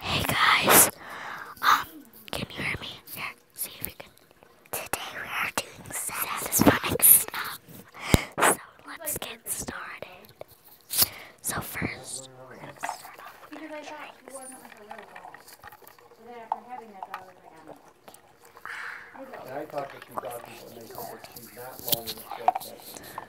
Hey guys, um, can you hear me? Today we are doing satisfying stuff. So let's get started. So first, we're gonna start off with our drinks. I thought that you thought people make that long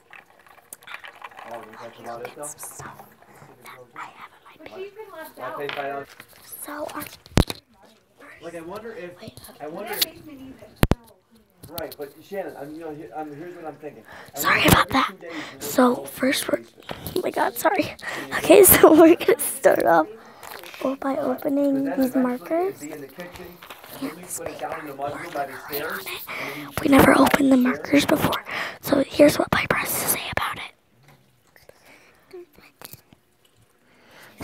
i So our wonder if right, but Shannon, here's what I'm thinking. sorry about that. So first we're oh my god, sorry. Okay, so we're gonna start off by opening these markers. We never opened the markers before. So here's what my has to say about it.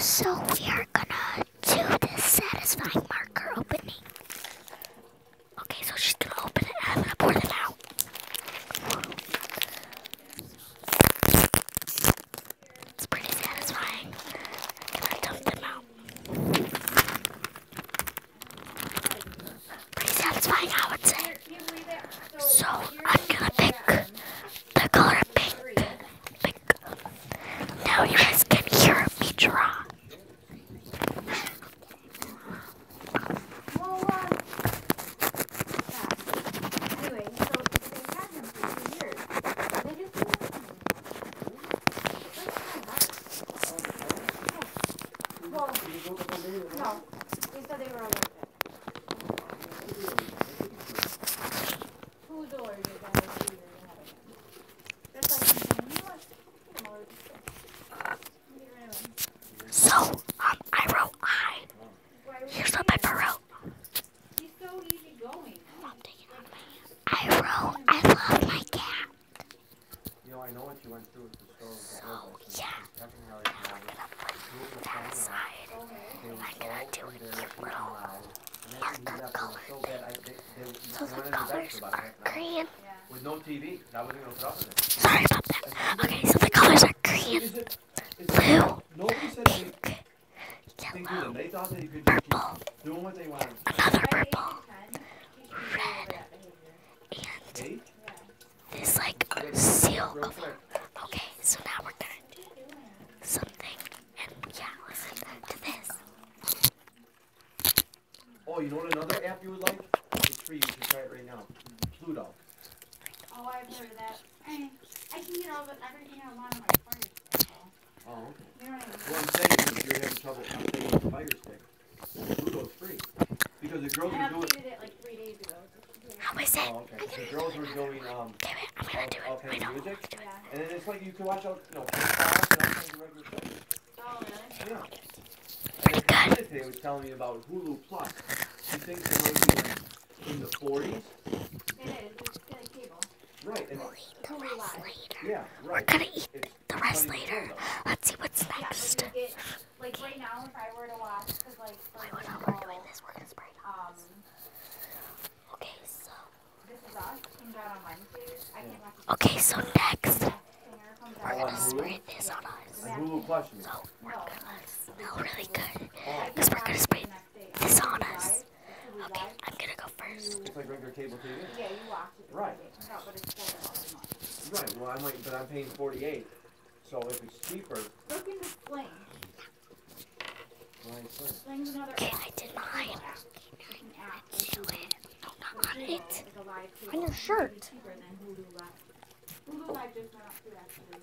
So we are gonna do this satisfying marker opening. Okay, so she's gonna open it and I'm gonna pour them out. It's pretty satisfying. i dump them out. Pretty satisfying, I would say. So I'm gonna pick the color pink. Pink. Now you guys can hear me draw. So, um, I wrote I. Here's what Pepper I wrote, I love my cat. You know, I know what you went through with the store. With so, yeah. Now I'm gonna put that aside. Okay. I'm gonna do a cute little marker color thing. So the colors are green. With no TV, I was gonna put up with it. Sorry about that. Okay, so the colors are green, blue, pink, yellow, purple, another purple, red, and this like seal cover. Okay, so now we're gonna do something, and yeah, listen to this. Oh, you know what another app you would like? The tree, you can try it right now. Pluto. Oh, I've heard of that. I can get all of everything I want on my phone. Oh, okay. You know what I'm saying is you're having trouble updating the fire stick. The Pluto's free. Because the girls I were doing... it like three days ago. How is it? Oh, okay. The girls were doing, um... Damn it, I'm gonna do it. I don't music, want to do it. And then it's like you can watch out, you know, class and all kinds of regular things. Oh, really? Yeah. Pretty and good. Today was telling me about Hulu Plus. She thinks it might be like in the 40s. It is. It's like cable. Right. And we'll eat the Yeah, We're gonna eat the rest later. Let's see what's next. like right now, if I were to watch, because like for Wait, example, we're this. We're gonna um, Okay, so. This is us. Comes out on Wednesdays. I can't Okay, so next. We're gonna spray this on us. So we're gonna smell really good. we we're gonna spray saunas. Okay, I'm gonna go first. It's like regular cable TV. Yeah, you watch it. Right. No, but it's four Right. Well, I'm like, but I'm paying forty-eight. So if it's cheaper. Look in the flame. Okay, I did mine. Do it. Not on it. On your shirt. Hulu Live just went up too, actually.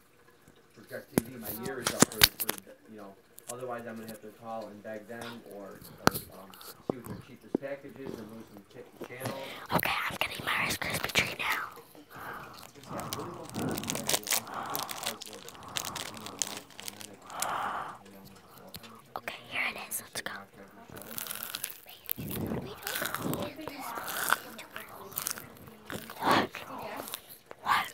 Project TV, my year is up for, for you know. Otherwise, I'm gonna have to call and beg them or, or um, see what their cheapest packages and move some channels. Okay, I'm getting my Rice Krispie treat now. Okay, here it is. Let's go. Look. Look.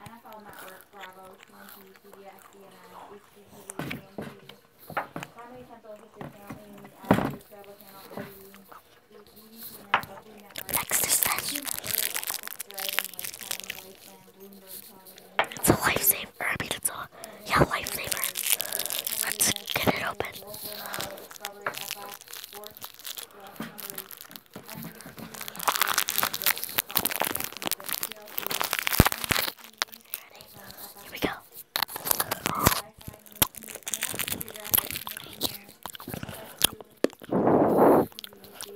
NFL Network, Bravo, TNT, CBS, CNN, HGTV, TNT, Comedy Central, History Channel, Amy, Adams, Travel Channel, TV, EBC Network, Food Network, it's a lifesaver. I mean, it's a yeah lifesaver. Let's get it open. Here we go.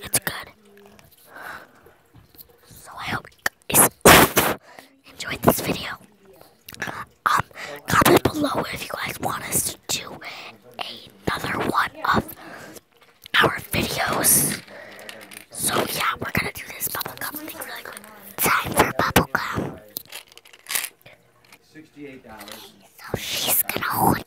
It's good. So I hope you enjoyed this video. Um, comment below if you guys want us to do another one of our videos. So yeah, we're gonna do this bubblegum thing really quick. Time for bubblegum. $68. So she's gonna hold it.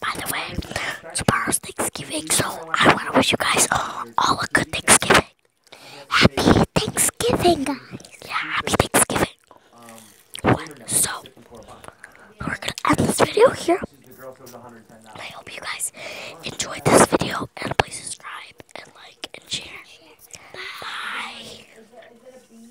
By the way, tomorrow's Thanksgiving, so I want to wish you guys all, a good Thanksgiving. Happy Thanksgiving, guys. Yeah, happy Thanksgiving. So, we're going to end this video here. I hope you guys enjoyed this video, and please subscribe, and like, and share. Bye.